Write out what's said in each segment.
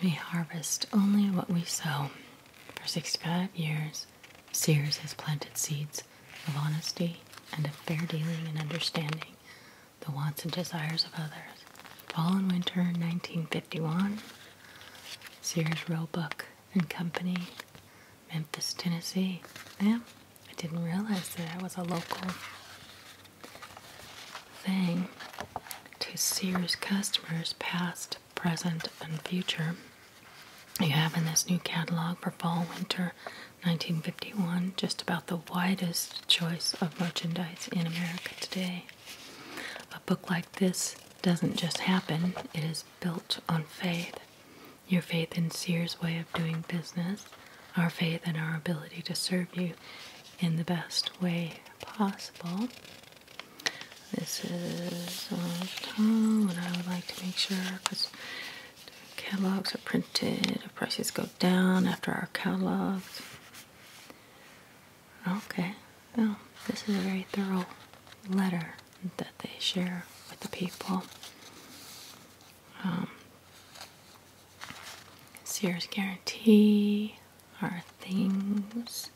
We harvest only what we sow. For 65 years, Sears has planted seeds of honesty and of fair dealing and understanding the wants and desires of others. Fall and winter 1951 Sears Roebuck and Company, Memphis, Tennessee. Yeah, I didn't realize that I was a local thing to Sears customers, past, present, and future. You have in this new catalog for fall winter 1951 just about the widest choice of merchandise in America today. A book like this doesn't just happen, it is built on faith. Your faith in Sears' way of doing business, our faith in our ability to serve you in the best way possible. This is on uh, and I would like to make sure because catalogs are printed, prices go down after our catalogs. Okay. Well, this is a very thorough letter that they share with the people. Um, Sears guarantee our things.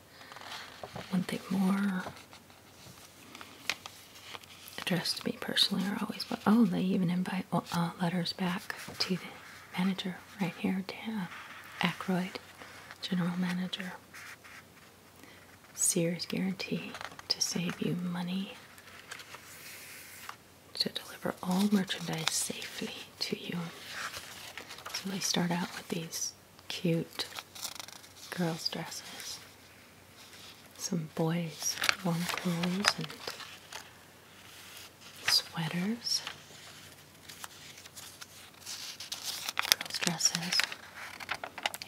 One thing more. Addressed to me personally are always, but oh, they even invite well, uh, letters back to the manager right here, Dan Ackroyd, general manager. Sears guarantee to save you money to deliver all merchandise safely to you. So they start out with these cute girls' dresses, some boys' warm clothes and sweaters, dresses.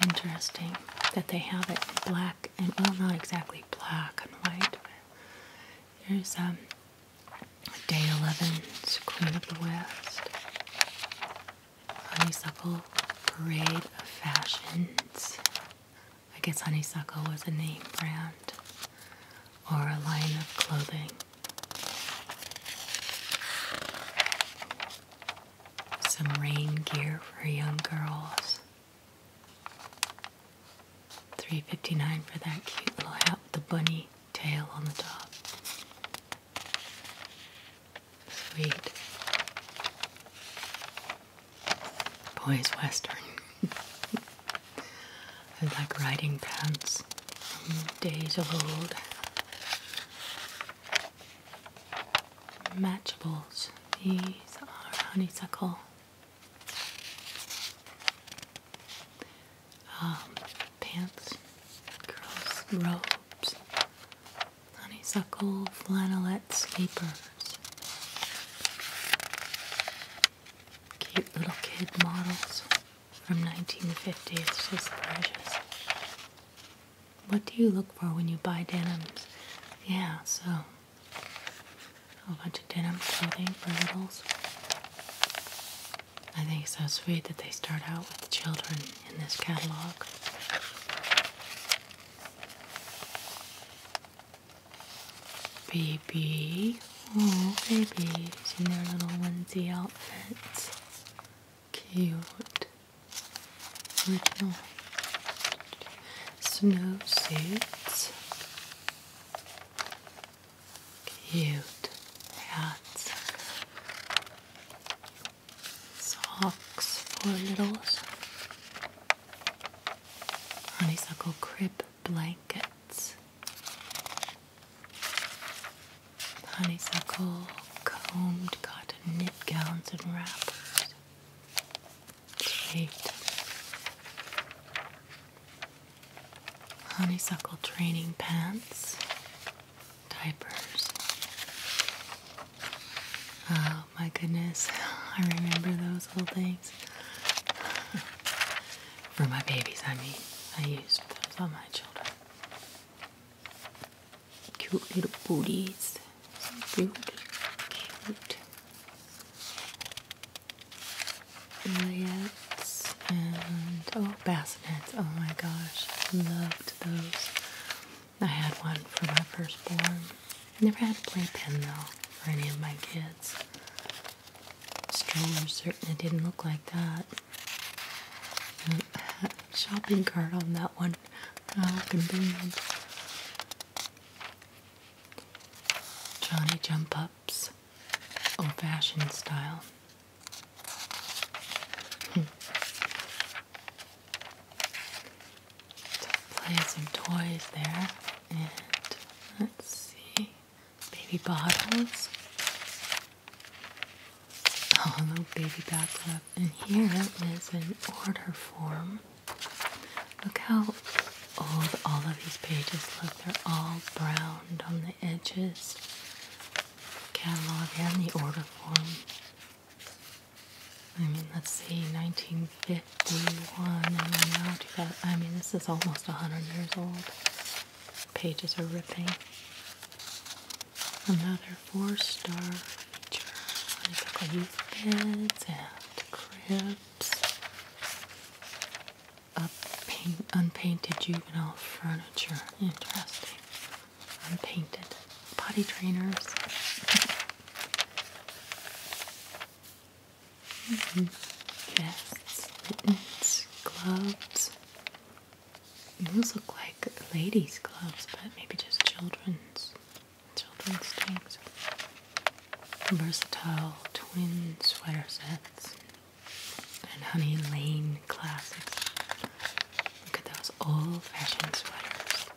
Interesting that they have it black and well, not exactly black and white. There's um, Day 11's Queen of the West, Honeysuckle Parade of Fashions. I guess Honeysuckle was a name brand or a line of clothing. Some rain gear for young girls. 359 for that cute little hat with the bunny tail on the top. Sweet. Boys Western. I like riding pants mm, days old. Matchables. These are honeysuckle. Um, pants, girls' robes, honeysuckle flannelette sleepers, cute little kid models from 1950. It's just gorgeous. What do you look for when you buy denims? Yeah, so a bunch of denim clothing for littles. I think it's so sweet that they start out with children in this catalog. Baby. Oh, babies in their little onesie outfits cute little snow suits, cute hats, socks for littles, honeysuckle crib blankets honeysuckle, combed cotton knit gowns and wrappers. Eight. Honeysuckle training pants, diapers. Oh my goodness, I remember those little things. For my babies, I mean, I used those on my children. Cute little booties. So cute. Cute. Layets and oh bassinets. Oh my gosh. Loved those. I had one for my firstborn. Never had a playpen though for any of my kids. Strollers certainly didn't look like that shopping cart on that one. How oh, convenient. Johnny Jump Ups, old fashioned style. play hmm. some toys there. And let's see. Baby bottles a oh, little baby backlap. And here is an order form. Look how old all of these pages look. They're all browned on the edges. Catalog and the order form. I mean, let's see, 1951, I mean, this is almost 100 years old. Pages are ripping. Another four-star feature. They took youth beds and cribs. unpainted juvenile furniture. Interesting. Unpainted potty trainers. mm mittens, gloves, those look like ladies' gloves, but maybe just children's. Children's things. Versatile twin sweater sets. And Honey Lane classics. Look at those old-fashioned sweaters.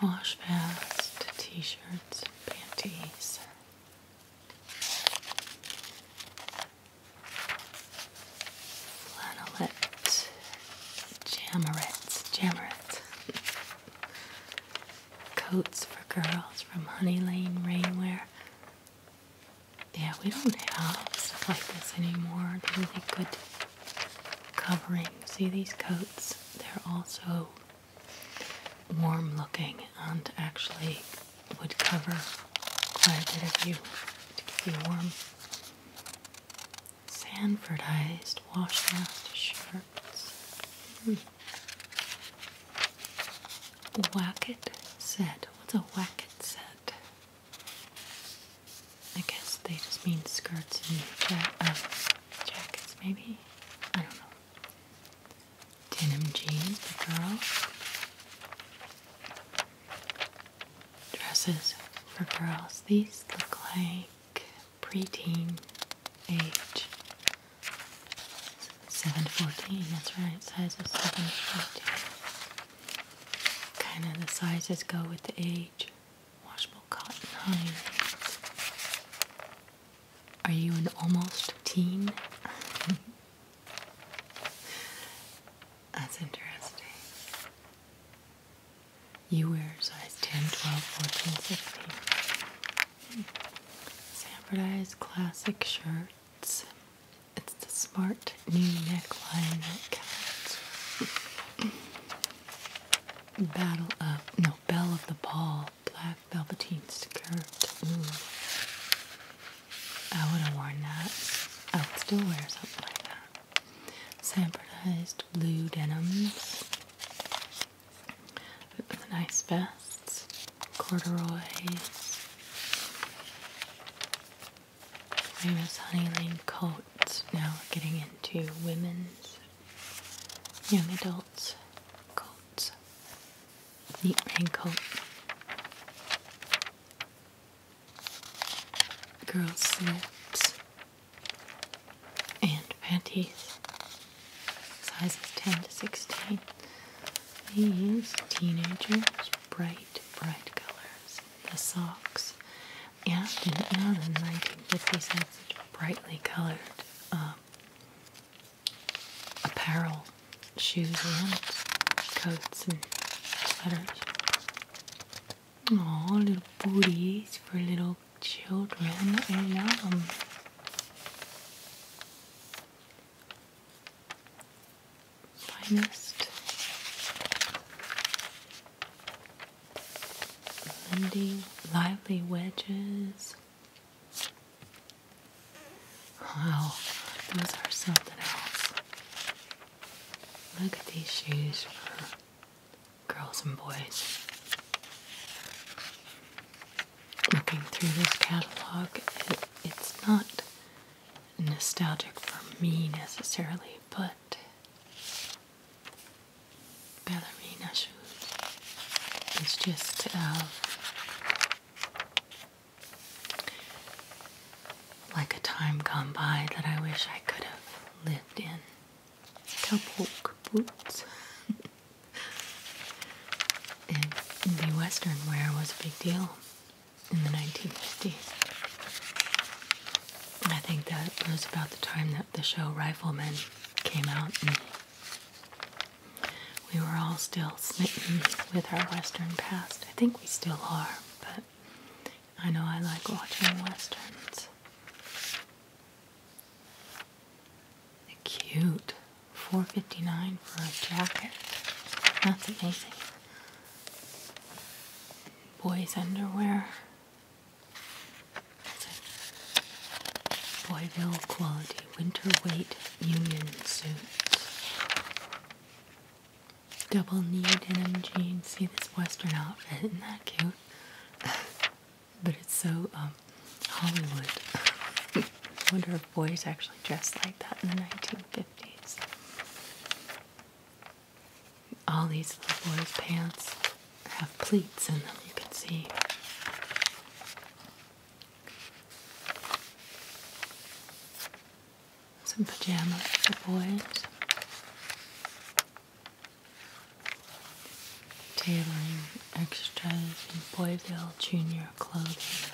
Wash fast t-shirts panties flannelette, jamarets, jamarets, coats for girls from Honey Lane Rainwear. Yeah, we don't have stuff like this anymore. Really good covering. See these coats? They're also warm looking and actually would cover quite a bit of you to keep you warm. Sanfordized washcloth shirts. Mm. Wacket set. What's a wacket set? I guess they just mean skirts and uh, jackets, maybe? I don't know. Denim jeans the girl dresses for girls. These look like preteen age. 714, that's right, size of 714. Kind of the sizes go with the age. Washable cotton Are you an almost teen? That's interesting. You wear size 10, 12, 14, 16. Hmm. Samfordized classic shirts. It's the smart new neckline that counts. Battle of, no, Bell of the Ball, black velveteen skirt. Ooh. Mm. I would have worn that. I would still wear something like that. Sampronized blue denims. Nice vests. Corduroys. Famous Lane coats. Now we're getting into women's young adults coats. Neat raincoat. Girls' slips and panties, sizes 10 to 16. These teenagers, bright, bright colors. The socks. Yeah, didn't the 1950s had such brightly colored um, apparel shoes and coats and sweaters. Oh, little booties for little children. I know. Um, finest Lindy lively wedges. Wow, those are something else. Look at these shoes for girls and boys. Looking through this catalog, it's not nostalgic for me necessarily, but ballerina shoes. It's just uh, like a time gone by that I wish I could have lived in. cowboy boots. and the western wear was a big deal in the 1950s. I think that was about the time that the show Rifleman came out and we were all still smitten with our western past. I think we still are, but I know I like watching westerns. cute. Four fifty nine for a jacket. That's amazing. Boys underwear. Boyville quality winter weight union suits double knee denim jeans. See this western outfit, isn't that cute? but it's so um, Hollywood. wonder if boys actually dressed like that in the 1950s. All these little boys' pants have pleats in them, you can see some pajamas for boys, tailoring extras, and Boyville Junior clothing.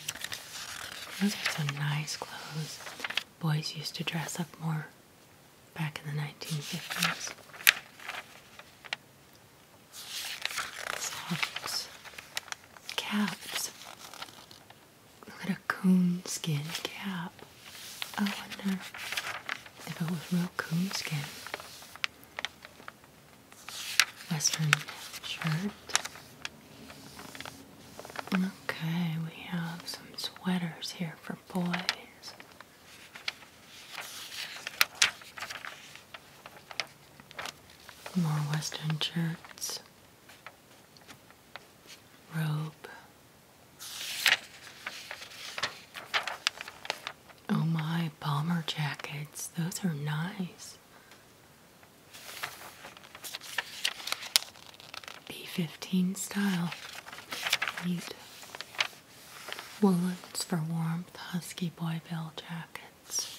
Those are some nice clothes. Boys used to dress up more back in the 1950s. Socks, caps, Look at her coonskin cap. I wonder if it was real coonskin. Western shirt. Okay, we have some sweaters here for boys. More Western shirts robe. Oh my, bomber jackets. Those are nice. p 15 style. Neat. Woolens for warmth, husky boy bill jackets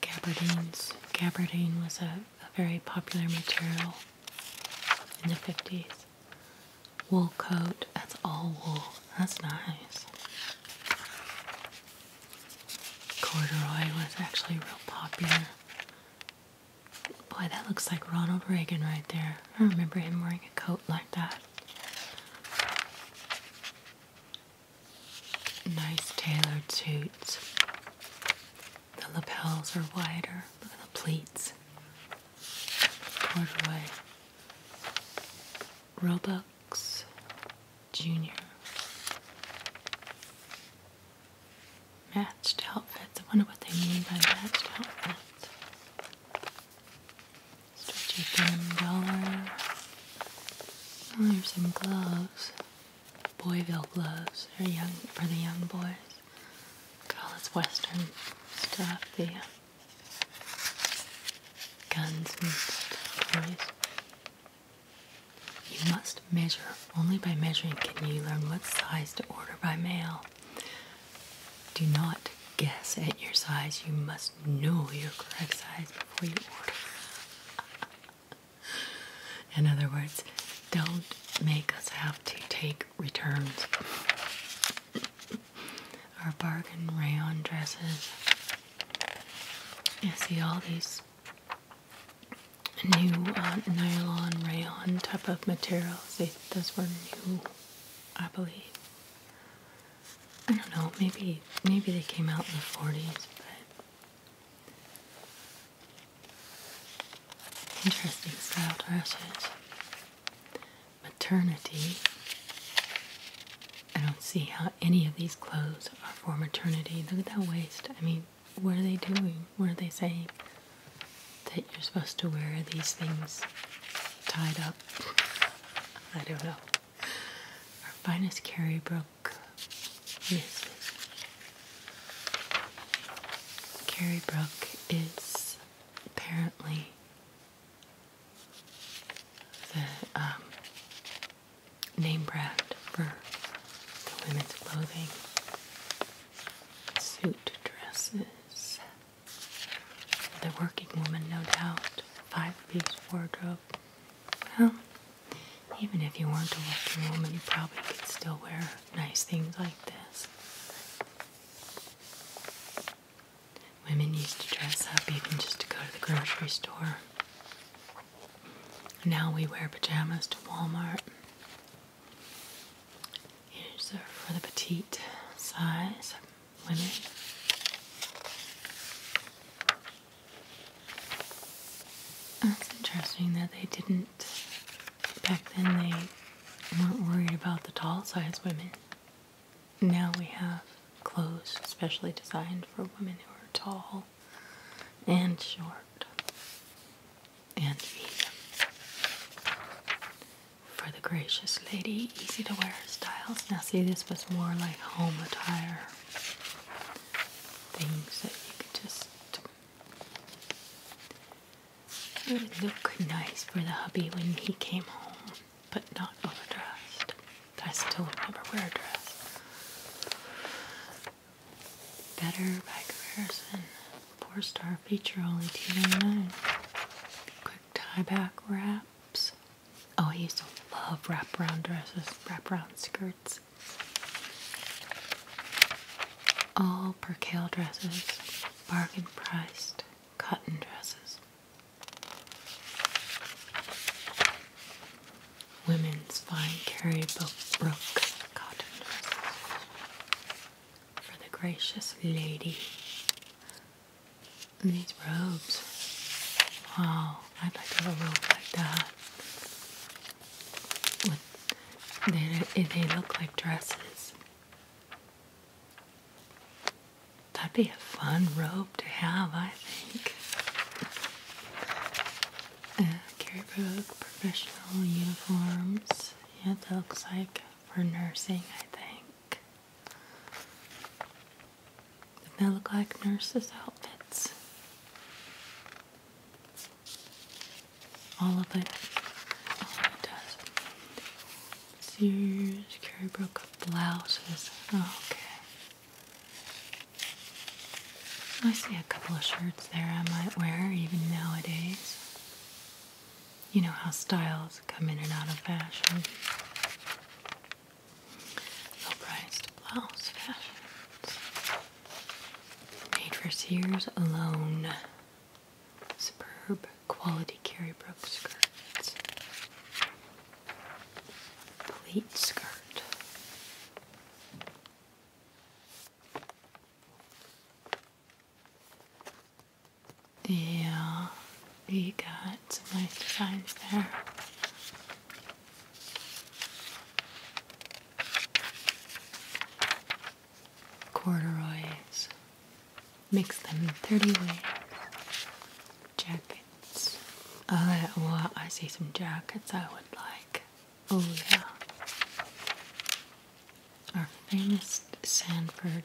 gabardines. Gabardine was a, a very popular material in the 50s. Wool coat, that's all wool. That's nice. Corduroy was actually real popular. Boy, that looks like Ronald Reagan right there. I remember him wearing a coat like that. Nice tailored suits. The lapels are wider. Look at the pleats. Corduroy. Robux Junior. Matched outfits. I wonder what they mean by matched outfits. Stretchy thin umbrella. Oh, here's some gloves. Boyville gloves. they young for the young boys. Look at all this western stuff. The uh, guns and toys. You must measure. Only by measuring can you learn what size to order by mail. Do not guess at your size. You must know your correct size before you order. In other words, don't make us have to take returns. Our bargain rayon dresses. You see all these new uh, nylon rayon type of materials. They, those were new, I believe. I don't know. Maybe maybe they came out in the forties, but Interesting styled lashes. Maternity. I don't see how any of these clothes are for maternity. Look at that waist. I mean, what are they doing? What are they saying? That you're supposed to wear these things tied up. I don't know. Our finest carry carrier Brock, Carrie Brook is apparently the um, name brand for the women's clothing, suit dresses, the working woman, no doubt, five piece wardrobe. Well, even if you weren't a working woman, you probably could still wear nice things like this. Women used to dress up even just to go to the grocery store. Now we wear pajamas to Walmart. Here's for the petite size women. That's interesting that they didn't. Back then, they weren't worried about the tall size women. Now we have clothes specially designed for women who are tall and short and medium. For the gracious lady, easy to wear styles. Now, see, this was more like home attire. Things that you could just it would look nice for the hubby when he came home, but not overdressed. I still would never wear a dress. Better by comparison. Four star feature only 2 dollars Quick tie back wraps. Oh, I used to love wrap-around dresses, wrap-around skirts. All percale dresses, bargain priced cotton dresses. Women's fine carry brook cotton dresses for the gracious lady. these robes. Wow, I'd like a robe like that they, they look like dresses. That'd be a fun robe to have, I think. Uh, Carrybrook professional uniforms. Yeah, that looks like for nursing, I think. They look like nurses' outfits. All of it. All of it does. Sears, Carrie Brook blouses. okay. I see a couple of shirts there I might wear even nowadays. You know how styles come in and out of fashion. Low priced blouse fashions. Made for Sears alone. Superb quality carry Brook skirts. Pleat skirt. Yeah, you got some nice designs there corduroys, mix them 30 ways, jackets. Oh, well, I see some jackets I would like. Oh, yeah. Our famous Sanford.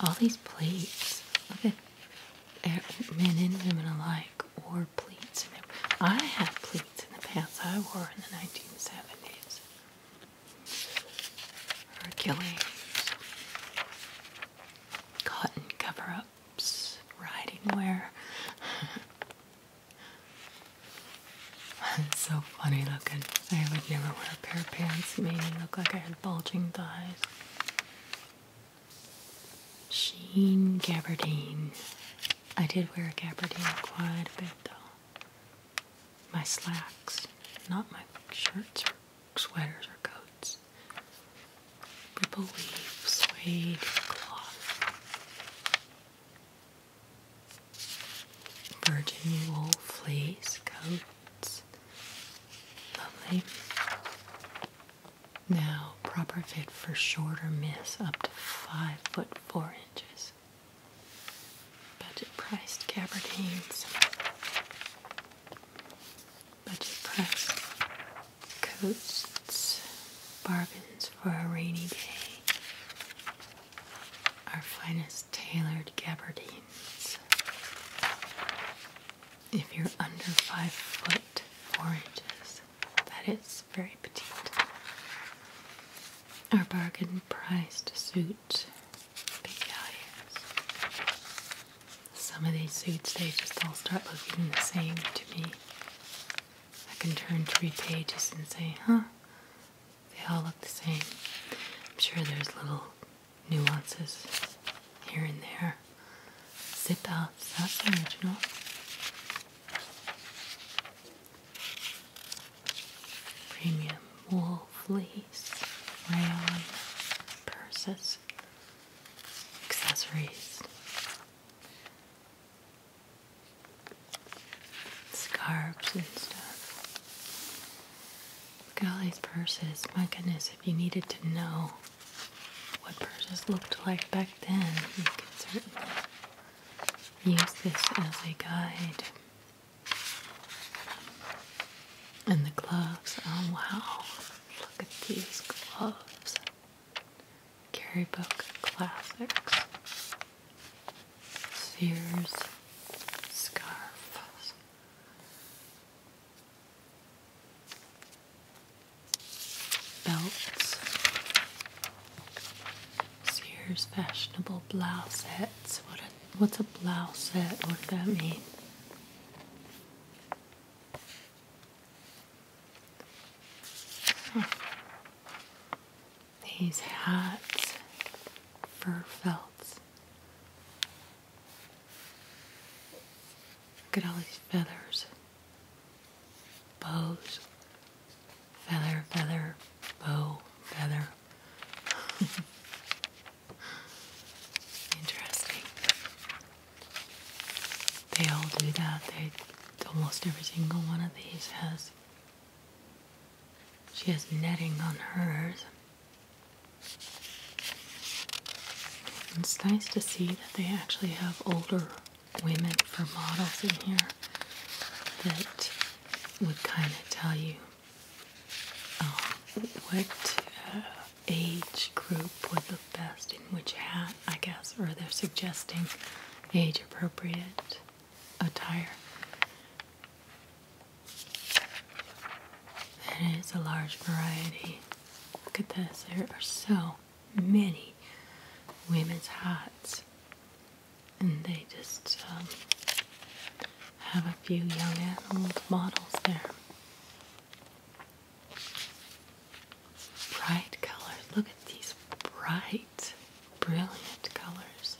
All these plates. Look at men and women alike or pleats. I have pleats in the pants I wore in the 1970s. Or Hercules, cotton cover-ups, riding wear. it's so funny looking. I would never wear a pair of pants. that made me look like I had bulging thighs. Sheen gabardine I did wear a gabardine quite a bit though. My slacks, not my shirts or sweaters or coats. Ripple weave, suede cloth, virgin wool fleece coats. Lovely. Now, proper fit for shorter miss up to 5 foot 4 Budget priced gabardines. Budget priced coats. Bargains for a rainy day. Our finest tailored gabardines. If you're under five foot four inches, that is very petite. Our bargain priced suit Some of these suits, they just all start looking the same to me. I can turn three pages and say, huh, they all look the same. I'm sure there's little nuances here and there. Zip outs, that's original. Premium wool fleece, rayon, purses, accessories, scarves and stuff. Look at all these purses. My goodness, if you needed to know what purses looked like back then, you could certainly use this as a guide. And the gloves, oh wow, look at these gloves. Carry Book Classics, Sears scarves. Belts, Sears fashionable blousettes. What what's a blousette? What does that mean? These hats, fur felts. Look at all these feathers bows, feather, feather, bow, feather. Interesting. They all do that. They almost every single one of these has. She has netting on hers. It's nice to see that they actually have older women for models in here that would kind of tell you uh, what uh, age group would look best in which hat, I guess, or they're suggesting age appropriate attire. And it's a large variety. Look at this, there are so many women's hats and they just um, have a few young animals models there. Bright colors. Look at these bright, brilliant colors.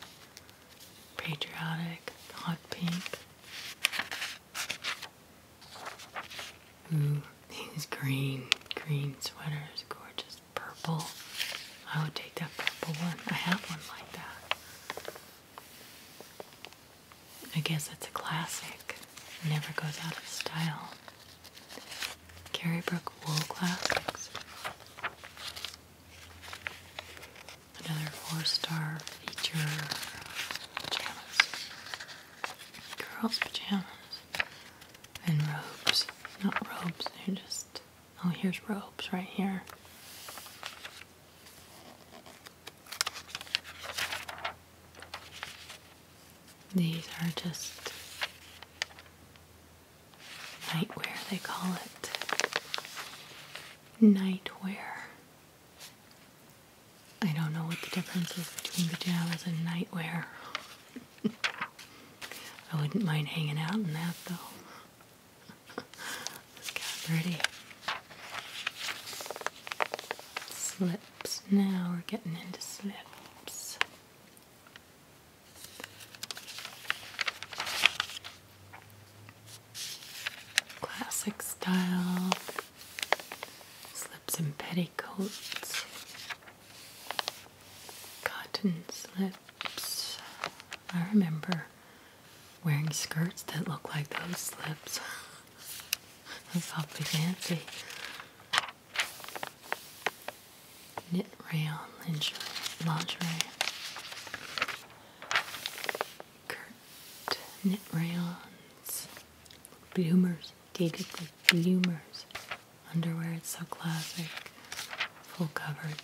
Patriotic, hot pink. Ooh, these green, green sweaters, gorgeous purple. I would take that purple one. I have one like that. I guess it's a classic. never goes out of style. Carrie Brook Wool Classics. Another four star feature pajamas. Girls' pajamas. And robes. Not robes, they're just Oh, here's robes right here. These are just nightwear, they call it. Nightwear. I don't know what the difference is between pajamas and nightwear. I wouldn't mind hanging out in that though. This kind pretty. Slips. Now we're getting into slips. Classic style. Slips and petticoats. Cotton slips. I remember wearing skirts that looked like those slips. That's awfully fancy. Knit rayon lingerie. lingerie. Kurt knit rayons. Bloomers. Dated bloomers. Underwear, it's so classic. Full coverage.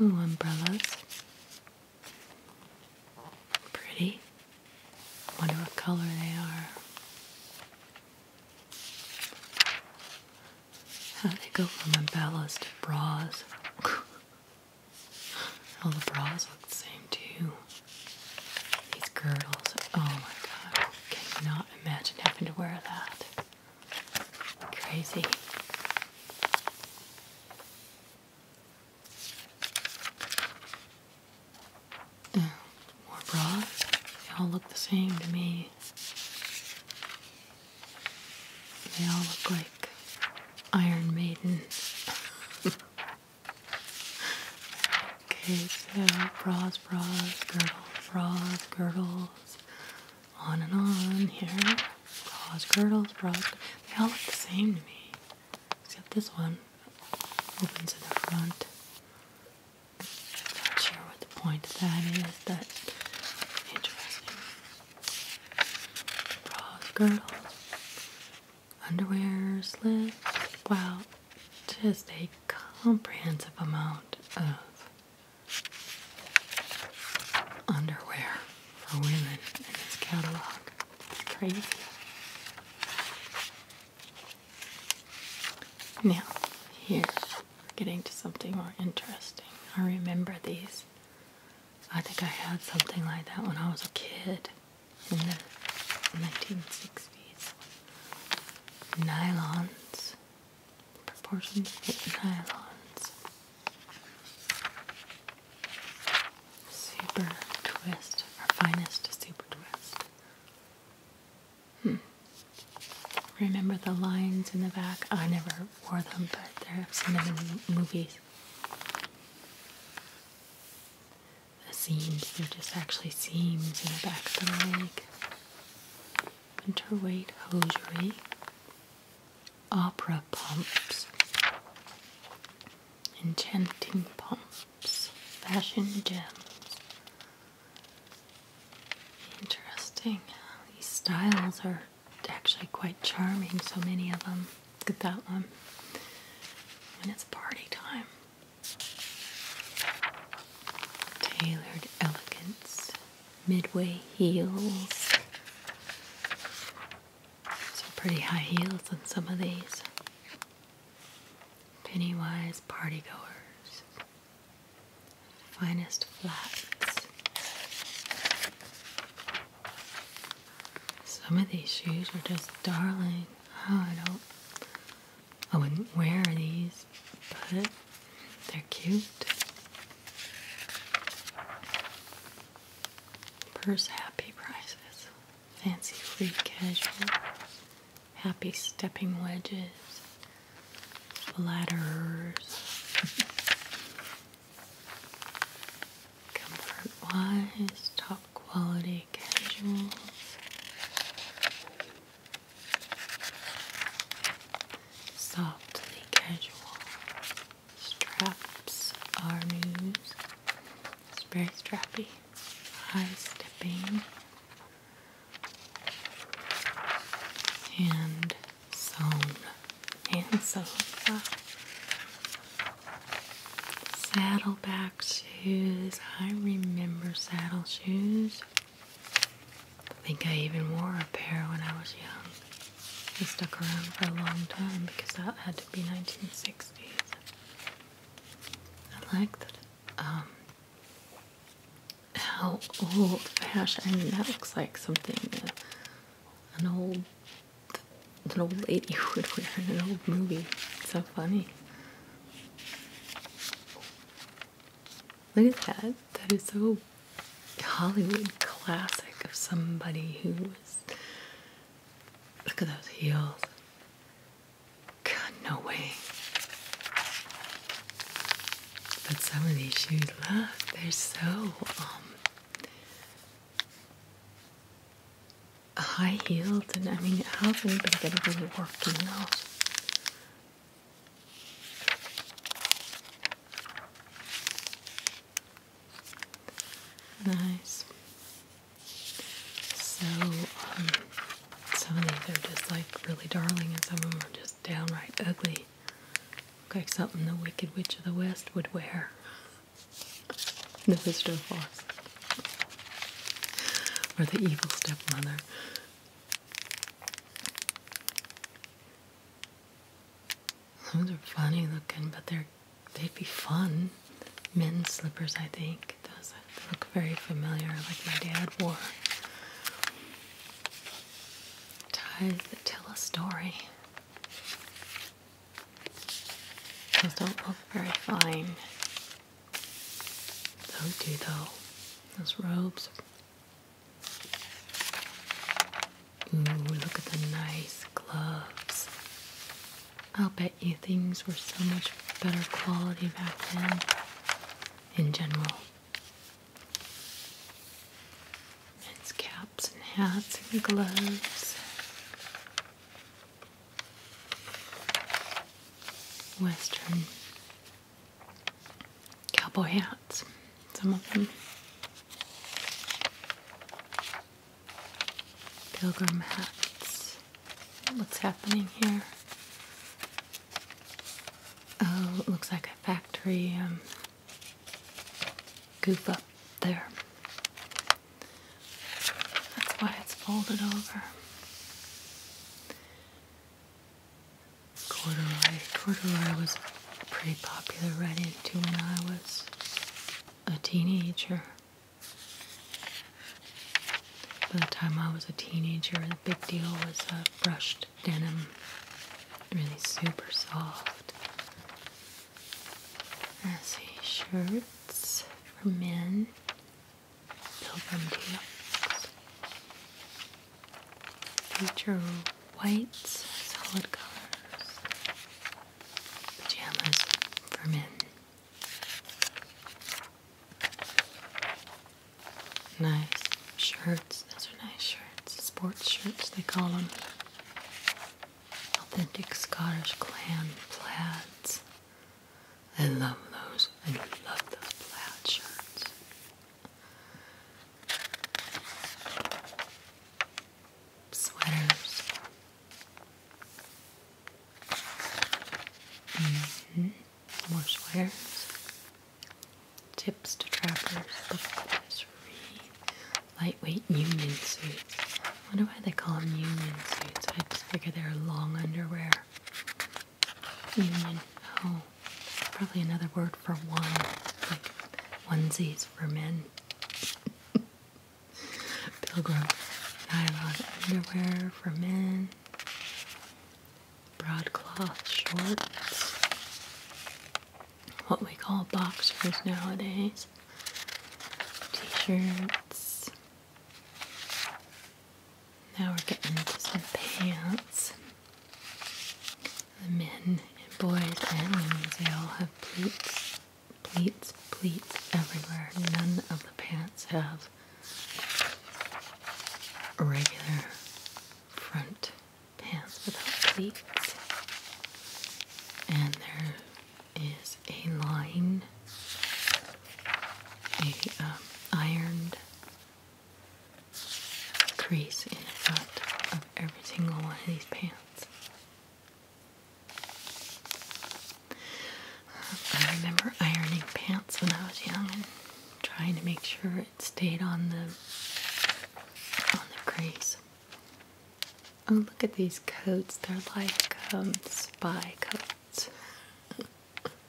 Oh, umbrellas. Pretty. Wonder what color they are. How they go from umbrellas to bras. All the bras look the same too. These girdles. Oh my god. Can you not imagine having to wear that? Crazy. Uh, more bras. They all look the same to me. They all look like Iron Maiden. okay, so bras, bras, girdles, bras, girdles, on and on here. Claws, girdles, bras. They all look the same to me. Except this one opens at the front. Not sure what the point of that is. That's interesting. Bras, girdles, underwear, slips. Wow, just a comprehensive amount of underwear for women in this catalog. It's crazy. Now, here, we're getting to something more interesting. I remember these. I think I had something like that when I was a kid in the 1960s. Nylons proportions of nylons. Super twist, our finest super twist. Hmm. Remember the lines in the back? I never wore them, but they're seen them in movies. The seams, they're just actually seams in the back of the leg winterweight hosiery, opera pumps, enchanting pumps, fashion gems. Interesting. These styles are actually quite charming, so many of them. Look at that one. And it's party time. Tailored elegance midway heels. Some pretty high heels on some of these. Pennywise party goers, Finest flats. Some of these shoes are just darling. Oh, I don't. I wouldn't wear these, but they're cute. Purse happy prices. Fancy free casuals, Happy stepping wedges. Flatterers. Comfort wise, top quality casuals. Softly casual straps are news. It's very strappy, high stepping, and so and sewn. Saddleback shoes. I remember saddle shoes. I think I even wore a pair when I was young. It stuck around for a long time because that had to be 1960s. I like that, um, how old fashioned. that looks like something an old, an old lady would wear in an old movie. so funny. Look at that. That is so Hollywood classic of somebody who was. Look at those heels. God, no way. But some of these shoes, look, they're so um, high heeled, and I mean, how can anybody get over working those? Nice. So, um, some of these are just like really darling, and some of them are just downright ugly. like something the Wicked Witch of the West would wear. The Wizard of Oz. Or the Evil Stepmother. Those are funny looking, but they're they'd be fun. Men's slippers, I think. Those look very familiar, like my dad wore. Ties that tell a story. Those don't look very fine. Those do though. Those robes Ooh, look at the nice gloves. I'll bet you things were so much better quality back then in general. hats and gloves. Western cowboy hats, some of them. Pilgrim hats. What's happening here? Oh, it looks like a factory um, goof up there. That's why it's folded over corduroy. Corduroy was pretty popular right into when I was a teenager. By the time I was a teenager, the big deal was uh, brushed denim, really super soft. I see shirts for men, pilgrim tunics, Future whites, solid colors. Pajamas for men. Nice shirts. Those are nice shirts. Sports shirts, they call them. Authentic Scottish clan plaids. I love those. I love those plaid shirts sweaters. Mm -hmm. More sweaters. Tips to trappers. lightweight union suits. I wonder why they call them union suits. I just figure they're long underwear. Union. Oh probably another word for one, like onesies for men. Pilgrim I love underwear for men. Broadcloth shorts. What we call boxers nowadays. T-shirts. Now we're getting into some pants. The men and boys and women, they all have pleats, pleats, pleats everywhere. None of the pants have regular front pants without pleats. And there is a line, a um, ironed crease in the front of every single one of these pants. I remember ironing pants when I was young and trying to make sure it stayed on the on the crease. Oh, look at these coats. They're like um, spy coats.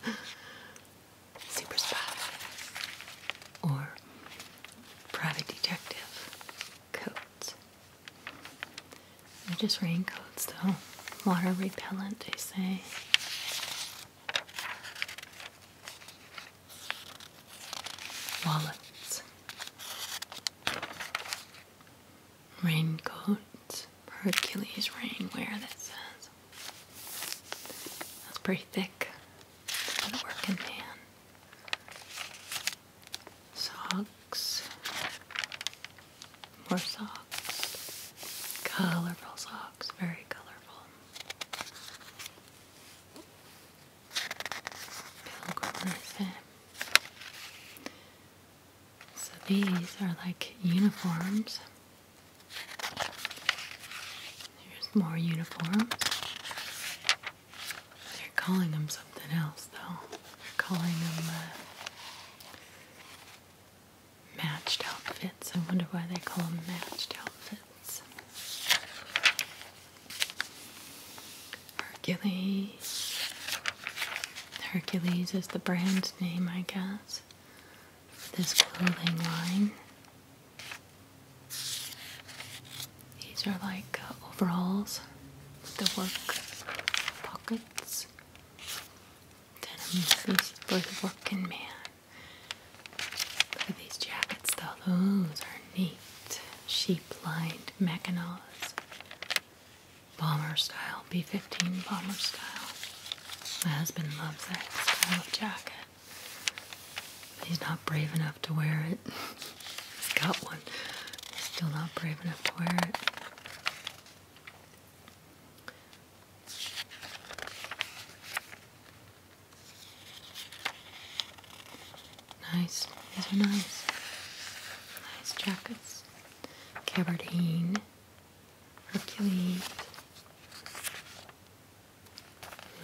Super spy. Or Private detective. Coats. they just raincoats, though. Water repellent, they say. Wallets. Raincoats. Hercules rainwear, that says. That's pretty thick. It's going to Socks. More socks. Colorful socks. Very colorful. So these are like uniforms. Here's more uniforms. They're calling them something else, though. They're calling them uh, matched outfits. I wonder why they call them matched outfits. Hercules. Hercules is the brand's name, I guess, this clothing line. These are like uh, overalls, the work pockets. Denim these for the working man. Look at these jackets though, those are neat. Sheep-lined mackinaws. Bomber style, B-15 bomber style. My husband loves that style of jacket. He's not brave enough to wear it. He's got one. He's still not brave enough to wear it. Nice. These are nice. Nice jackets. Gabardine. Hercules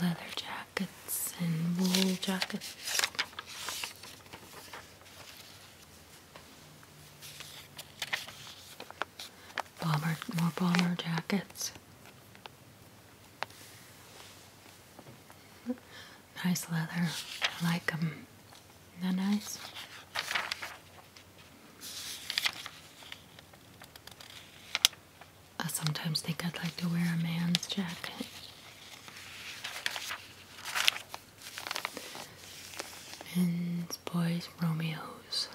leather jackets and wool jackets. Bomber, more bomber jackets. Nice leather. I like them. that nice? I sometimes think I'd like to wear a man's jacket. Men's, boys, Romeos.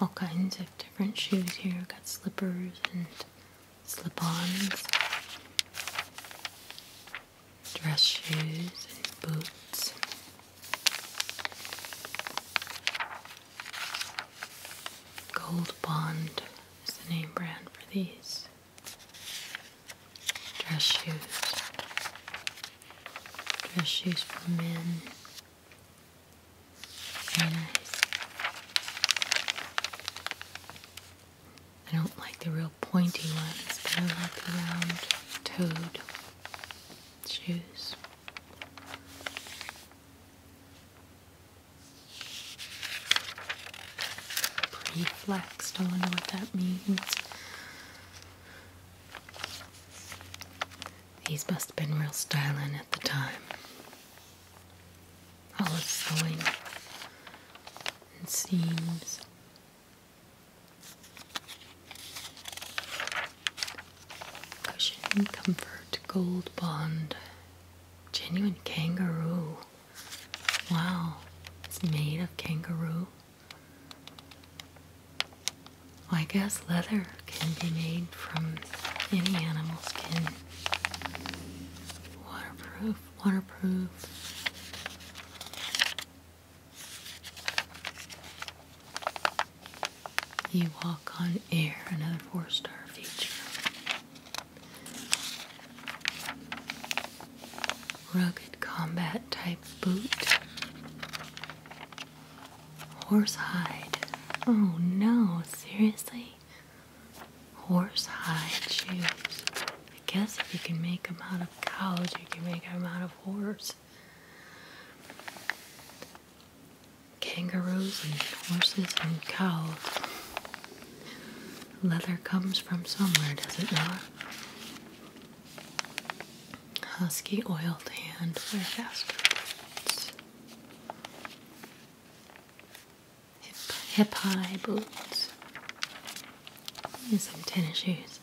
All kinds of different shoes here. Got slippers and slip ons, dress shoes, and boots. Gold Bond is the name brand for these dress shoes. Dress shoes for men. Very nice. I don't like the real pointy ones, but I like the round toed shoes. Pretty flex, don't know what that means. These must have been real styling at the time. All the sewing and seams. Cushion Comfort Gold Bond. Genuine kangaroo. Wow, it's made of kangaroo. I guess leather can be made from any animal skin. Waterproof, waterproof. You walk on air, another four star feature. Rugged combat type boot. Horse hide. Oh no, seriously? Horse hide shoes. I guess if you can make them out of cows, you can make them out of horses, Kangaroos and horses and cows. Leather comes from somewhere, does it not? Husky oiled hand, wear faster boots. Hip, high boots. some tennis shoes.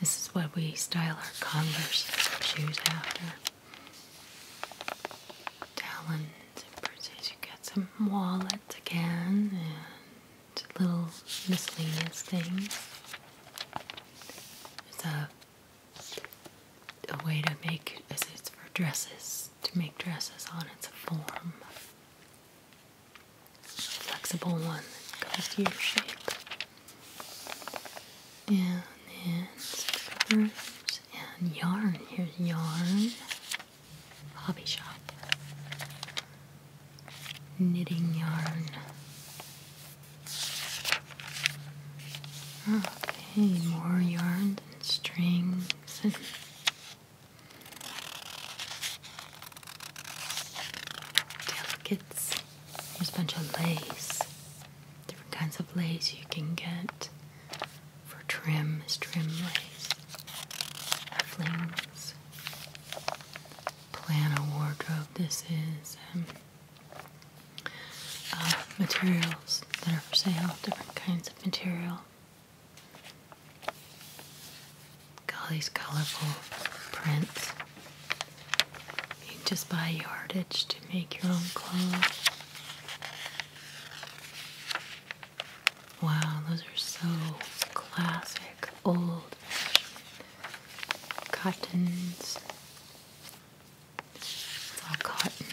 This is what we style our Converse shoes after talons and purses. You got some wallets again and little miscellaneous things. There's a a way to make as it's for dresses to make dresses on. It's a form, flexible one that goes to your shape. And then scrubbers and yarn. Here's yarn hobby shop, knitting yarn. Okay, more yarn and strings. And delicates. There's a bunch of lace. Different kinds of lace you can get for trim is trim lace, flings. Plan a wardrobe. This is um, uh, materials that are for sale, different kinds of material. Got all these colorful prints. You can just buy yardage to make your own clothes. Wow, those are so classic, old cottons. all cotton.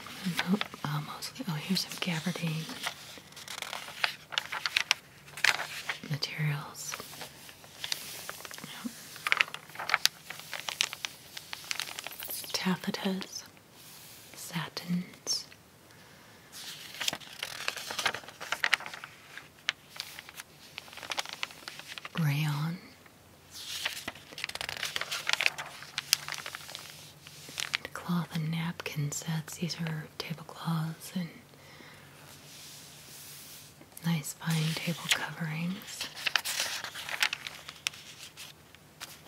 Uh, mostly. Oh, here's some gabardine materials. Taffetas, satins. Rayon. cloth and napkin sets. These are tablecloths and nice fine table coverings.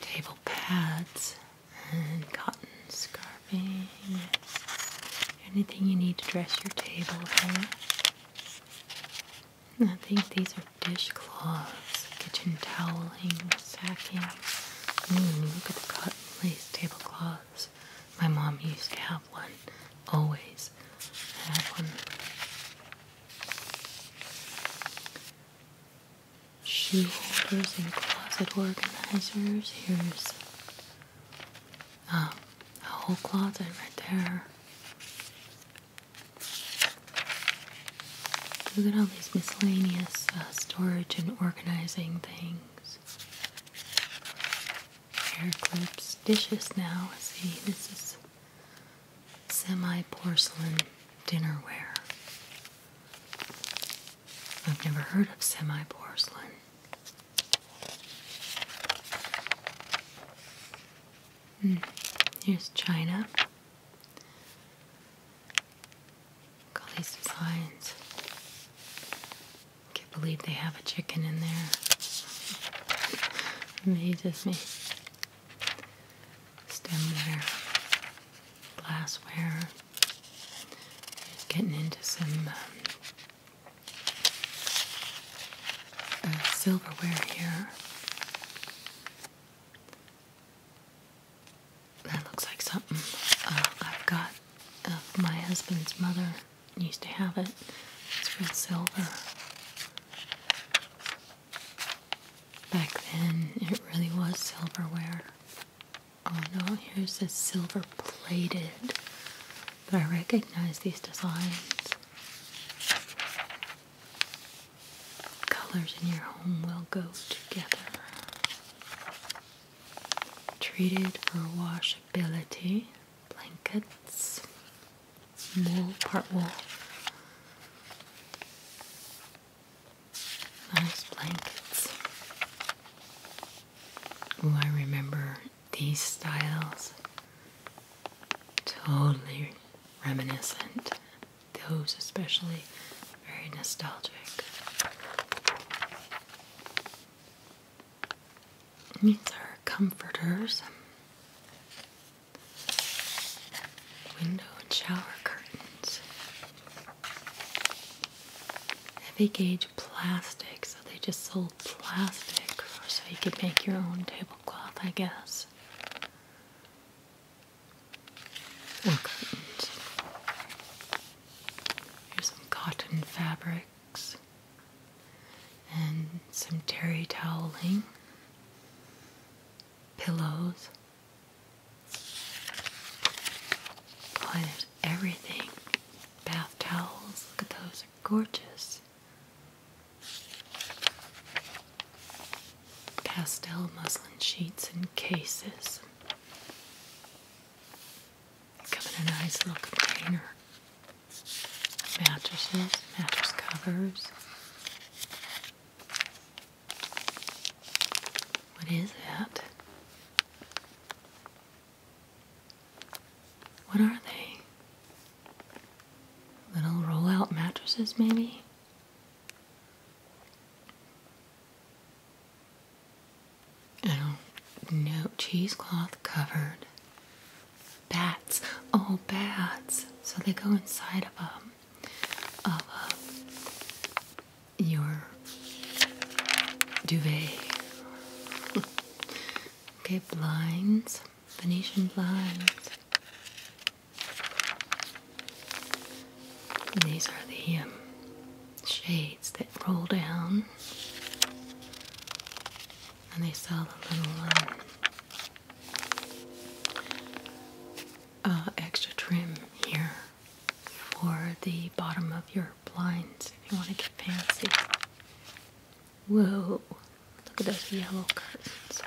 Table pads and cotton scarves, anything you need to dress your table with. I think these are dishcloths, kitchen toweling, sacking. Ooh, look at the cotton lace tablecloths. My mom used to have one, always had one shoe holders and closet organizers. Here's um, a whole closet right there. Look at all these miscellaneous uh, storage and organizing things. Hair clips, dishes now. see, this is semi porcelain dinnerware. I've never heard of semi porcelain. Hmm, here's China. Look all these designs. Can't believe they have a chicken in there. Amazes me. Stemware, glassware. Getting into some um, uh, silverware here. That looks like something uh, I've got. Uh, my husband's mother used to have it. It's real silver. Back then, it really was silverware. Oh no, here's this silver plated. But I recognize these designs. Colors in your home will go together. Treated for washability. Blankets. Wool, part wool. Nice blankets. Oh, I remember these styles. Totally reminiscent. Those, especially, very nostalgic. These are comforters. Window and shower curtains heavy gauge plastic, so they just sold plastic so you could make your own tablecloth, I guess. Here's some cotton fabrics and some terry toweling, pillows. Oh, everything. Bath towels. Look at those. are gorgeous. Pastel muslin sheets and cases. They Come in a nice little container. Mattresses, mattress covers. What is that? What are they? Little roll out mattresses, maybe? Oh, no, cheesecloth covered. Bats. Oh, bats. So they go inside of a, of your duvet. okay, blinds, Venetian blinds. And these are the um, shades that roll down, and they sell the little um, uh, extra trim here for the bottom of your blinds if you want to get fancy. Whoa, look at those yellow curtains.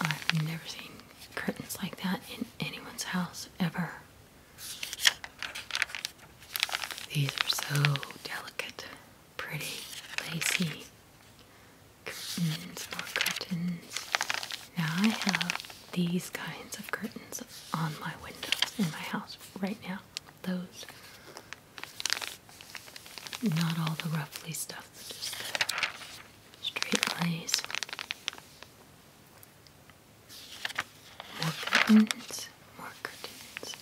I've never seen curtains like that in anyone's house ever. These are so delicate, pretty, lacy curtains, Now I have these kinds of curtains on my windows in my house right now. Those, not all the ruffly stuff, just straight lines. more curtains, more curtains.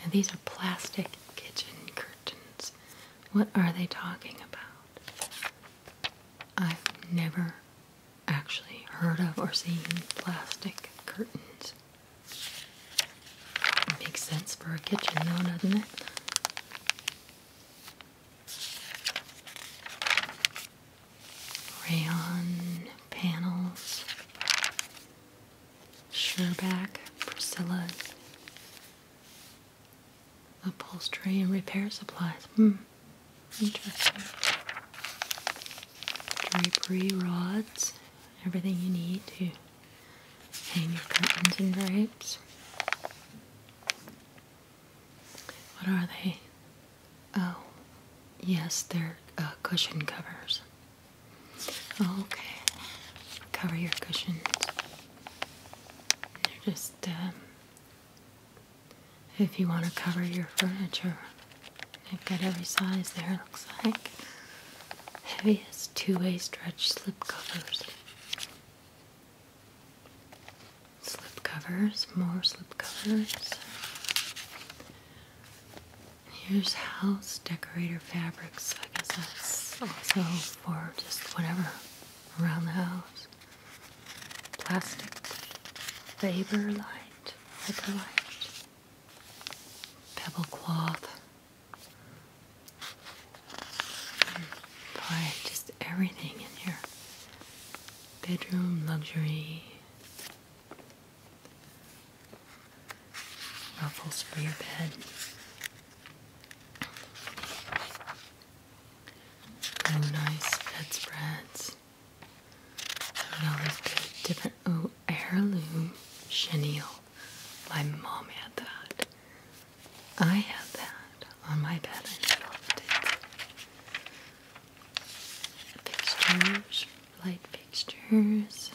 Now these are plastic kitchen curtains. What are they talking about? I've never actually heard of or seen plastic curtains. makes sense for a kitchen, though, doesn't it? Rayon panels, Sherback, Priscilla's upholstery and repair supplies. Hmm. Interesting. Drapery rods, everything you need to hang your curtains and drapes. What are they? Oh, yes, they're uh, cushion covers. Oh, okay, cover your cushions. They're just um, if you want to cover your furniture. They've got every size there, it looks like. Heaviest two-way stretch slip covers. Slip covers, more slip covers. Here's house decorator fabrics. I guess that's also for just whatever around the house plastic labor light, hyper light, pebble cloth. Buy just everything in here. Bedroom luxury. Ruffles for your bed. Oh, nice bed spreads. What else good? Different. Oh, heirloom chenille. My mom had that. I had that on my bed. I loved it. Pictures, light fixtures.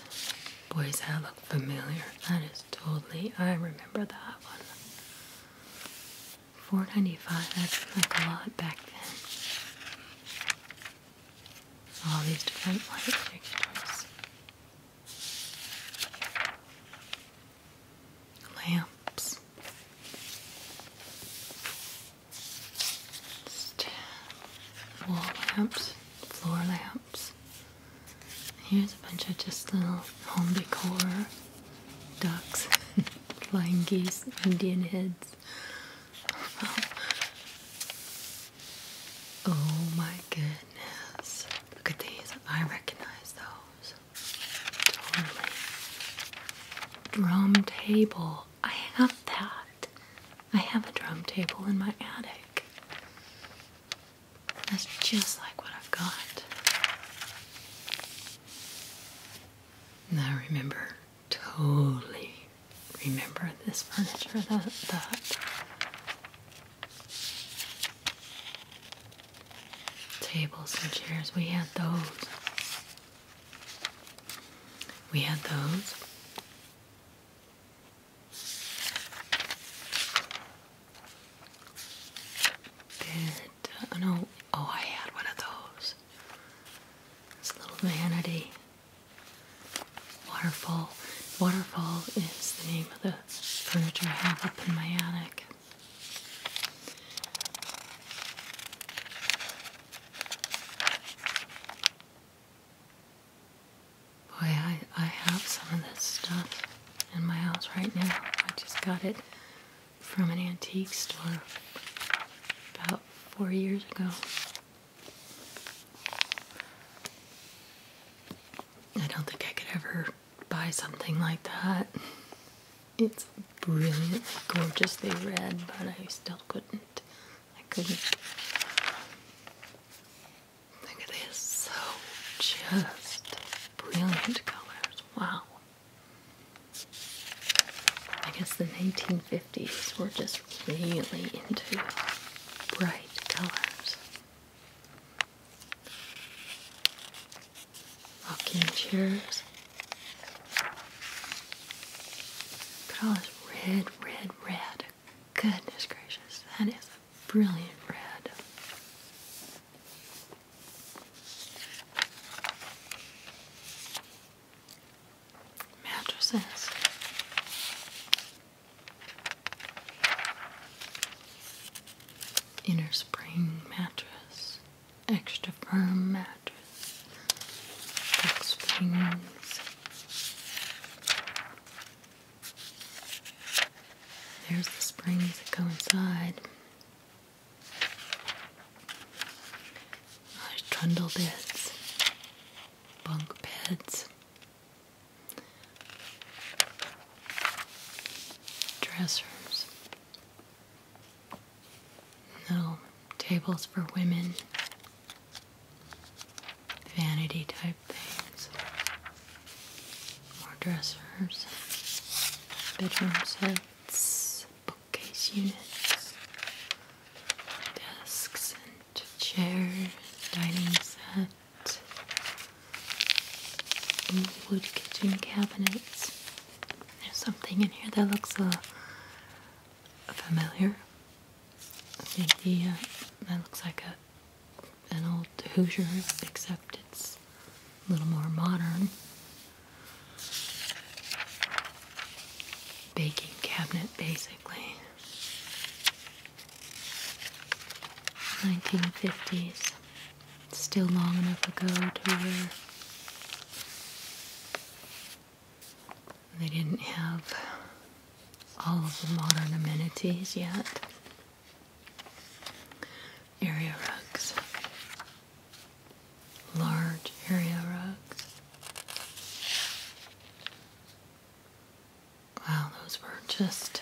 Boys, that look familiar. That is totally. I remember that one. Four ninety five. That seemed like a lot back then. All these different light fixtures, lamps, wall lamps, floor lamps. Here's a bunch of just little home decor ducks, flying geese, Indian heads. Oh, oh my goodness. Look at these. I recognize those. Drum table. I have that. I have a drum table in my attic. That's just like what I've got. I remember, totally remember this furniture, that that tables and chairs. We had those. We had those. Did, oh, no, oh, I had one of those. This little vanity. Waterfall. Waterfall is the name of the furniture I have up in my attic. Boy, I, I have some of this stuff in my house right now. I just got it from an antique store about four years ago. I don't think I could ever buy something like that. It's brilliantly gorgeously red, but I still couldn't. I couldn't. Look at this. So just brilliant colors. Wow. I guess the 1950s were just really into bright colors. Rocking chairs. Look at all this red, red, red. Goodness gracious, that is a brilliant red. Mattresses. Inner spring mattress, extra firm mattress, springs. There's the springs that go inside trundle beds, bunk beds, dressers, little tables for women, vanity type things, more dressers, bedroom sets bookcase units, desks and chairs, dining set, wood kitchen cabinets. There's something in here that looks uh, familiar. I think the that looks like a an old Hoosier, except it's a little more modern baking cabinet basically. 1950s. Still long enough ago to where they didn't have all of the modern amenities yet. Area rugs large area rugs. Wow, those were just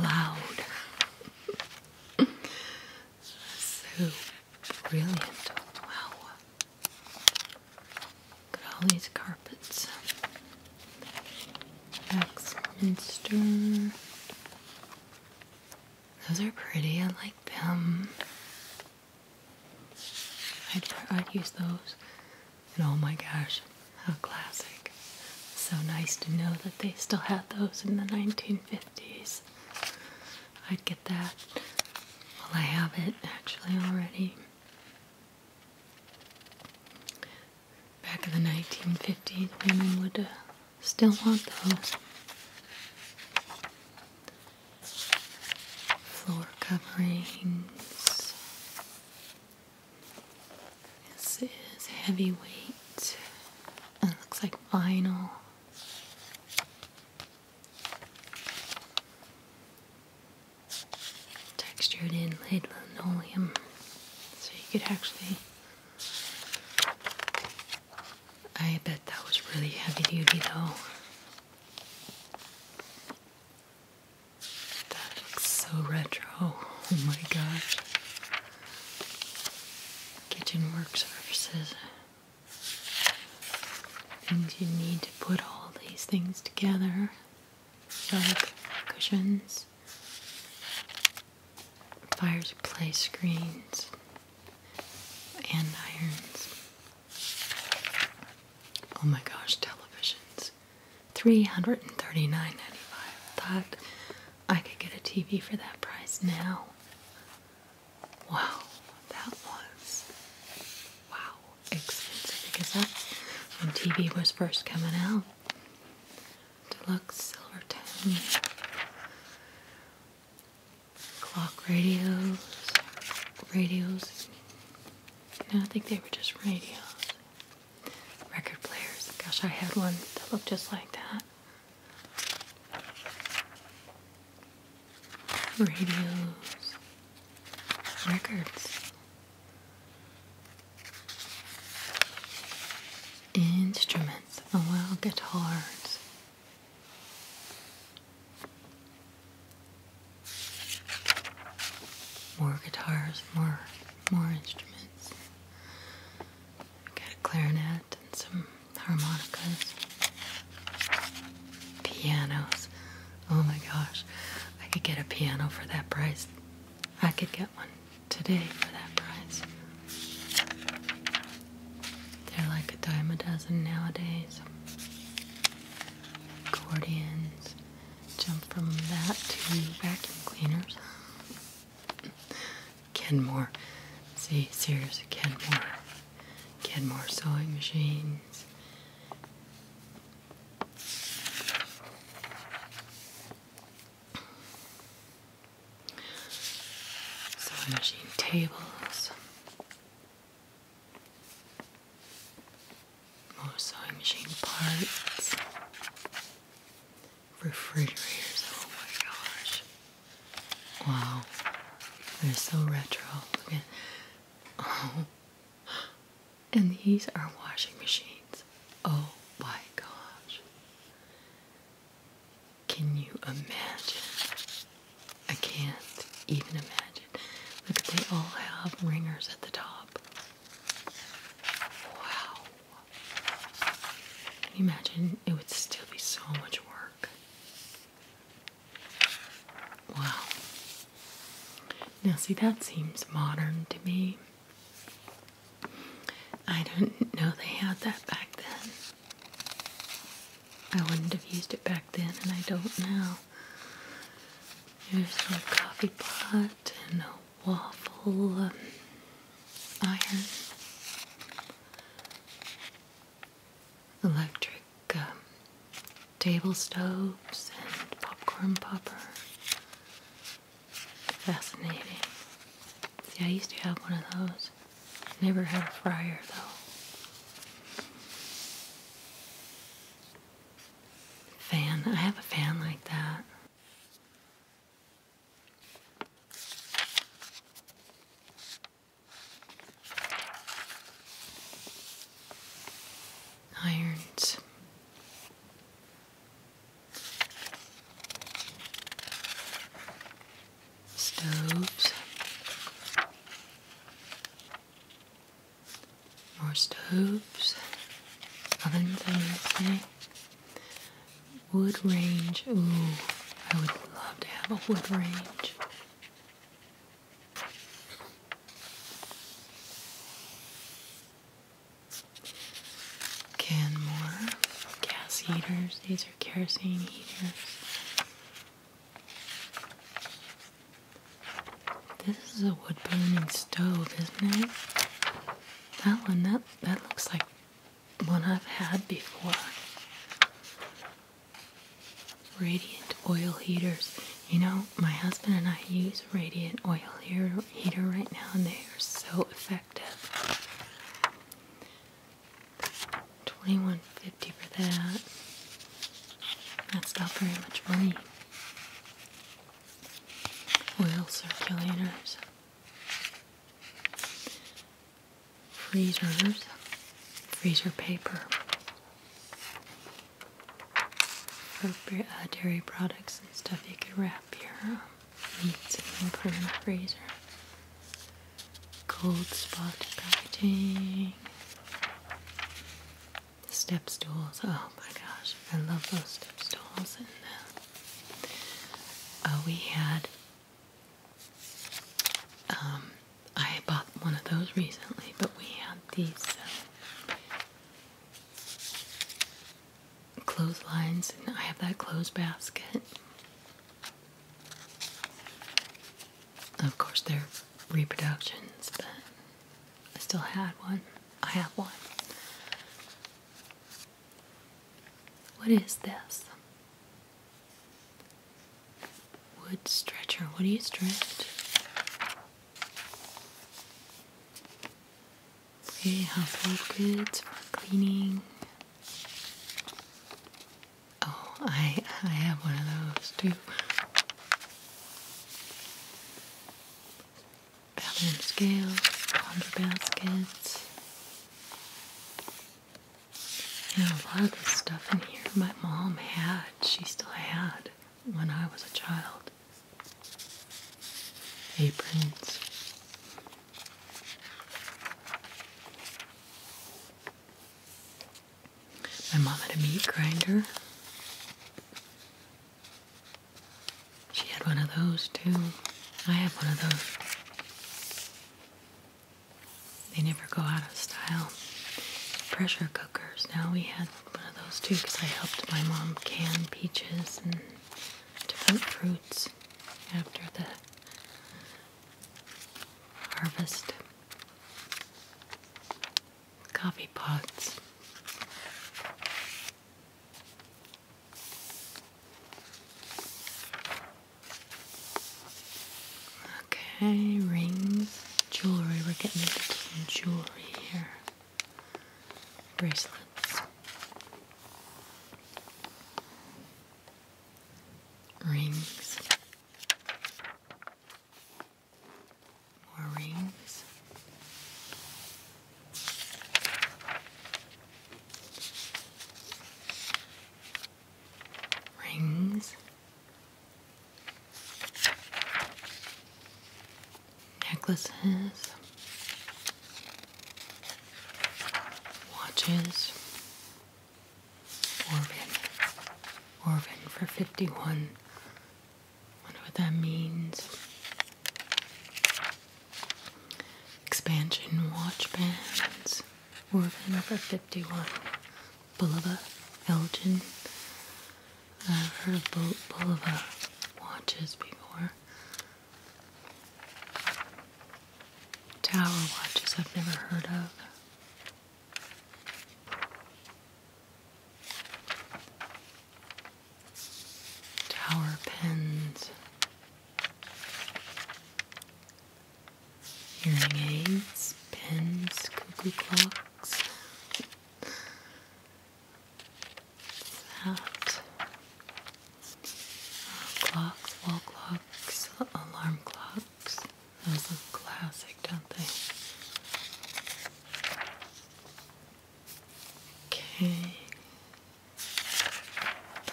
loud. so brilliant. Wow. Look at all these carpets. Axminster. Those are pretty. I like them. I'd, use those. And oh my gosh, how classic. So nice to know that they still had those in the 1950s. I'd get that. Well, I have it actually already. Back in the 1950s, women would uh, still want those floor coverings. This is heavyweight and it looks like vinyl. Textured in laid linoleum, so you could actually I bet that was really heavy duty though. That looks so retro. Oh my gosh. Kitchen work surfaces. Things you need to put all these things together. Like cushions, fireplace screens, and irons. Oh my gosh, televisions. three hundred and thirty-nine ninety-five. dollars Thought I could get a TV for that price now. Wow, that was wow expensive because that when TV was first coming out. Deluxe silver tone clock radios, radios. No, I think they were just radios. Record players. Gosh, I had one that looked just like that. Radios. Records. Instruments. Oh, well, guitars. More guitars, more more instruments. Got a clarinet and some harmonicas. Pianos. Oh my gosh. I could get a piano for that price. I could get one today for that price. They're like a dime a dozen nowadays. Accordions. Jump from that to vacuum cleaners. Kenmore. See, Sears, Kenmore. Kenmore sewing machines. Sewing machine tables. More oh, sewing machine parts. Refrigerators, oh my gosh. Wow. They're so retro. Oh. And these are washing machines. Oh my gosh. Can you imagine? I can't even imagine. Look, they all have ringers at the top. Wow. Can you imagine? It would still be so much work. Wow. Now, see, that seems modern to me. I do not know they had that back then. I wouldn't have used it back then, and I don't now. There's a coffee pot and a waffle um, iron, electric um, table stoves, and popcorn popper. Fascinating. See, I used to have one of those. Never had a fryer though. Fan. I have a fan like that. Irons stoves, more stoves, ovens, I eh? would say. Wood range, ooh, I would love to have a wood range. Canmore gas heaters, these are kerosene heaters. This is a wood burning stove, isn't it? That one, that, that looks like one I've had before. Radiant oil heaters. You know, my husband and I use radiant oil heater, heater right now, and they are so effective. Twenty-one fifty for that. That's not very much money. Oil circulators. Freezers. Freezer paper. Uh, dairy products and stuff you could wrap your meats and put in the freezer. Cold spot packaging. The step stools. Oh my gosh, I love those step stools. And uh, uh we had. Um, I bought one of those recently, but we had these uh, clotheslines, and I have that clothes basket. Of course, they're reproductions, but I still had one. I have one. What is this? Wood stretcher. What do you stretch? Okay, household goods for cleaning. Oh, I I have one of those too. Pattern scales, ponder baskets. You a lot of the stuff in here my mom had, she still had when I was a child. Aprons. My mom had a meat grinder. She had one of those too. I have one of those. They never go out of style. Pressure cookers. Now we had one of those too because I helped my mom can peaches and different fruits after the harvest coffee pots. Okay, rings, jewelry. We're getting into jewelry here. Bracelets. Rings. More rings. Rings. Necklaces. Watches. Orvin. Orvin for 51. Wonder what that means. Expansion watch bands. Orvin for 51. Bulova, Elgin. I've heard of Bulova watches before. Tower watches I've never heard of. Tower pins, hearing aids, pins, cuckoo clocks. That clocks, wall clocks, alarm clocks. Those look classic, don't they? Okay.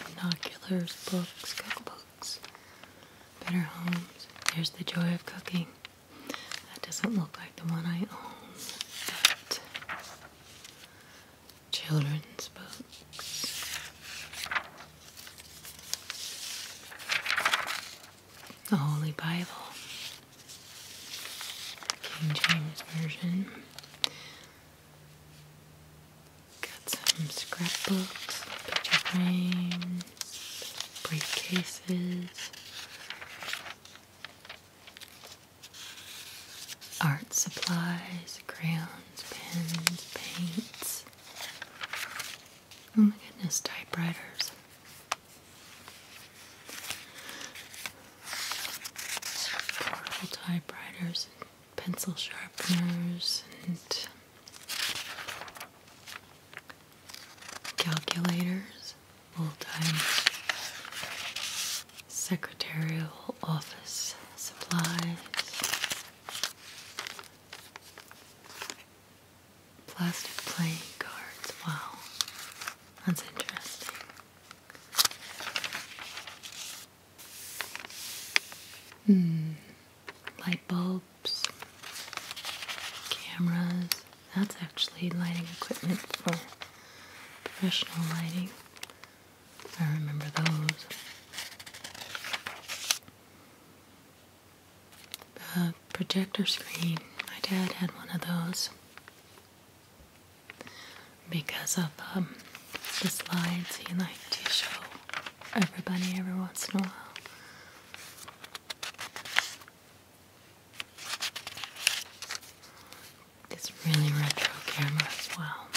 Binoculars, books, cookbooks, better homes. There's the joy of cooking. That doesn't look like the one I own, but children's books the Holy Bible, King James Version. Got some scrapbooks, picture frames, briefcases, art supplies, crayons, pens, paints. Oh my goodness, typewriters. Portable typewriters, and pencil sharpeners, and calculators, full-time secretarial office supplies. Plastic playing cards. Wow. That's interesting. Hmm. Light bulbs, cameras. That's actually lighting equipment for professional lighting. I remember those the projector screen. My dad had one of those because of um, the slides he liked to show everybody every once in a while. It's really retro camera as well.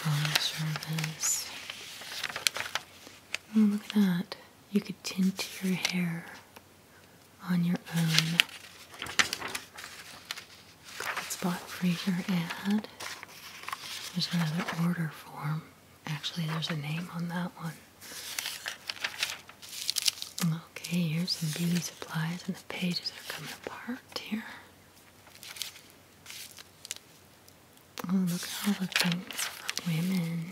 Phone service. Oh, look at that you could tint your hair on your own. Good spot freezer your ad. There's another order form. Actually, there's a name on that one. Okay, here's some beauty supplies, and the pages are coming apart here. Oh, look at all the things for women.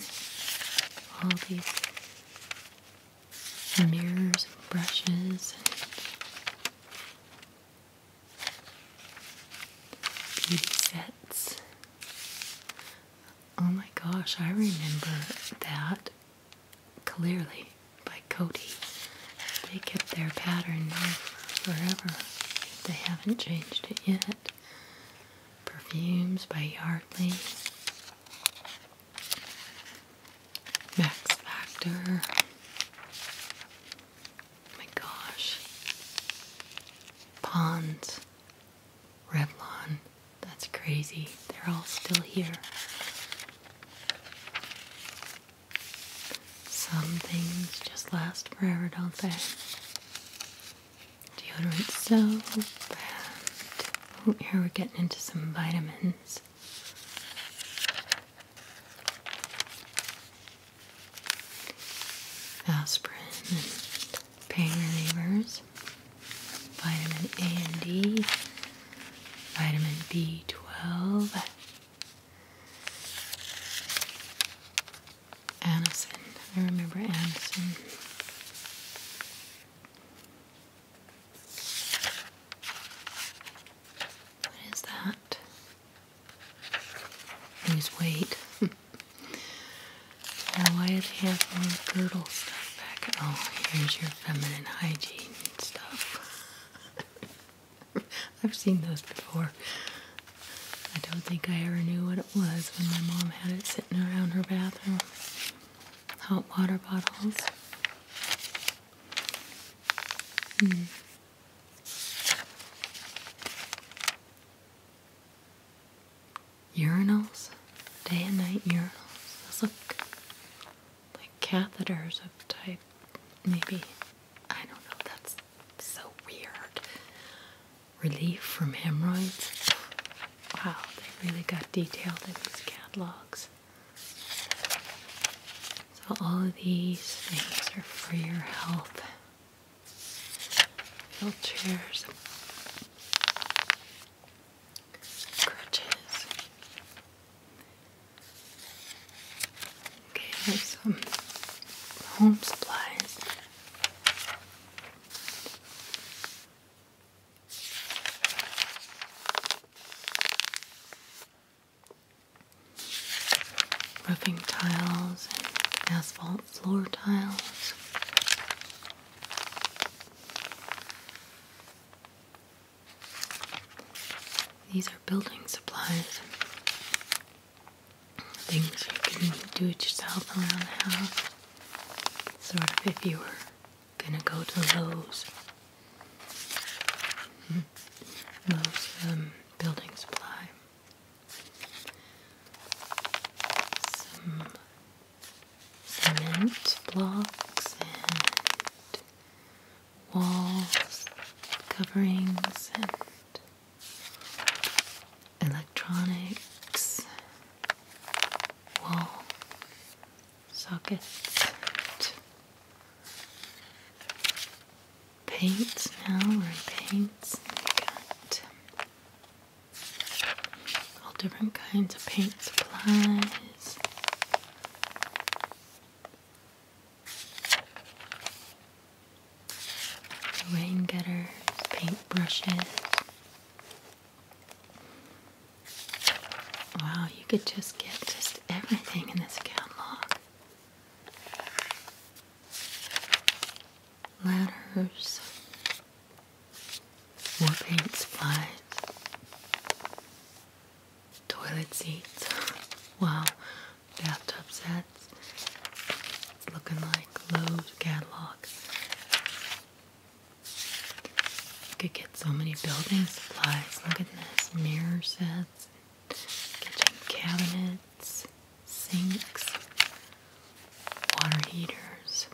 All these mirrors and brushes and beauty sets. Oh my gosh, I remember that clearly by Cody. They kept their pattern now forever. They haven't changed it yet. Perfumes by Yardley. Max Factor. Oh my gosh. Ponds. Revlon. That's crazy. They're all still here. Some things just last forever, don't they? deodorant so bad. here we're getting into some vitamins. Aspirin pain relievers, vitamin A and D, vitamin B12, Anison. I remember Anison. What is that? Lose weight. why do they have girdle stuff back? Oh, here's your feminine hygiene stuff. I've seen those before. I don't think I ever knew what it was when my mom had it sitting around her bathroom. Hot water bottles. Hmm. Urinals, day and night urinals. Those look like catheters of type, maybe. I don't know, that's so weird relief from hemorrhoids. Wow, they really got detailed in these catalogs. So, all of these things are for your health. Wheelchairs, crutches. Okay, there's some home supplies. Roofing tiles and asphalt floor tiles. These are building supplies things you can do it yourself around the house. Sort of if you were gonna go to Lowe's. Hmm. Lowe's um, building supply. Some cement blocks and walls, coverings, and electronics, wall, socket, paint. Now we're in paints. We got all different kinds of paint supplies. Rain gutters, paint brushes, Wow, you could just get just everything in this catalog. Letters, more paint supplies, toilet seats. Wow, bathtub sets. looking like Lowe's catalog. You could get so many building supplies. Look at this mirror sets, kitchen cabinets, sinks, water heaters.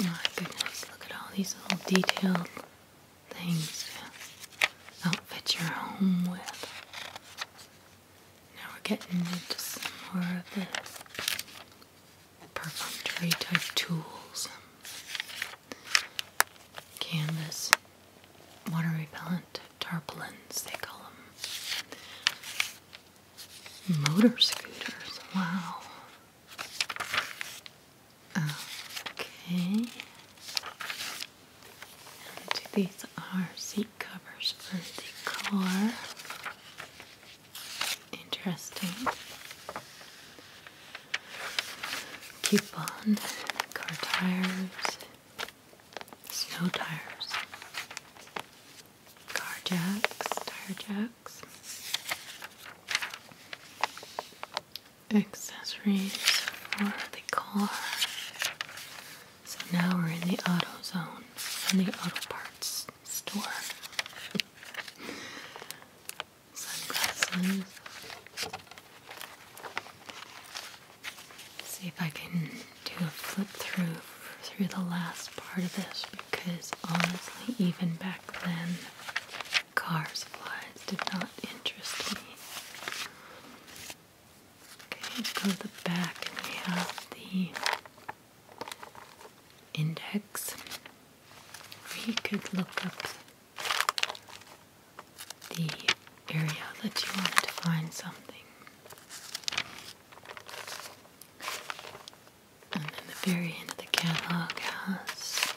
my goodness, look at all these little detailed things to outfit your home with. Now we're getting into some more of the perfunctory type tools. Canvas, water repellent, tarpaulins, they call them. Motor scooters, wow. Okay these are seat covers for the car. Interesting. Coupon, car tires, snow tires, car jacks, tire jacks, accessories for the car, so now we're in the auto zone, in the auto parts store. Sunglasses. See if I can do a flip through through the last part of this because honestly, even back then, cars, flies did not interest me. Okay, let's go to the back and we have the index. We could look up the area that you wanted to find something. And then the very end of the catalog has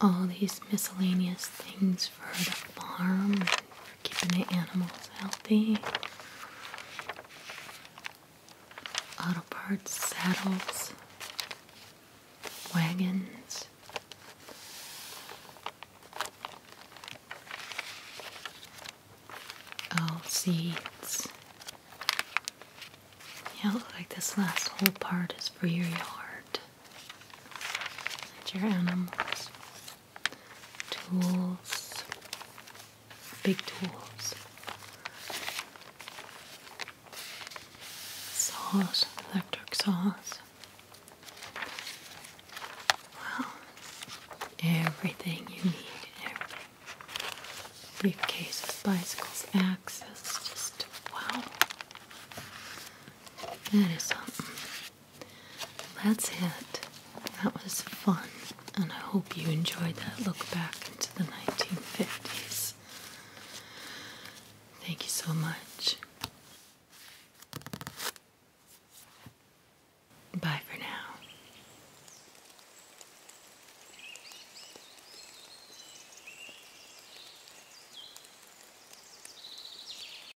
all these miscellaneous things for the farm keeping the animals healthy. Auto parts, saddles, wagons. Oh, seeds. Yeah, it like this last whole part is for your yard and your animals tools, big tools, saws, electric saws. Well, everything you need. Briefcases, bicycles, axes, just wow. That is something. That's it. That was fun, and I hope you enjoyed that look back into the 1950s. Thank you so much. Bye for now.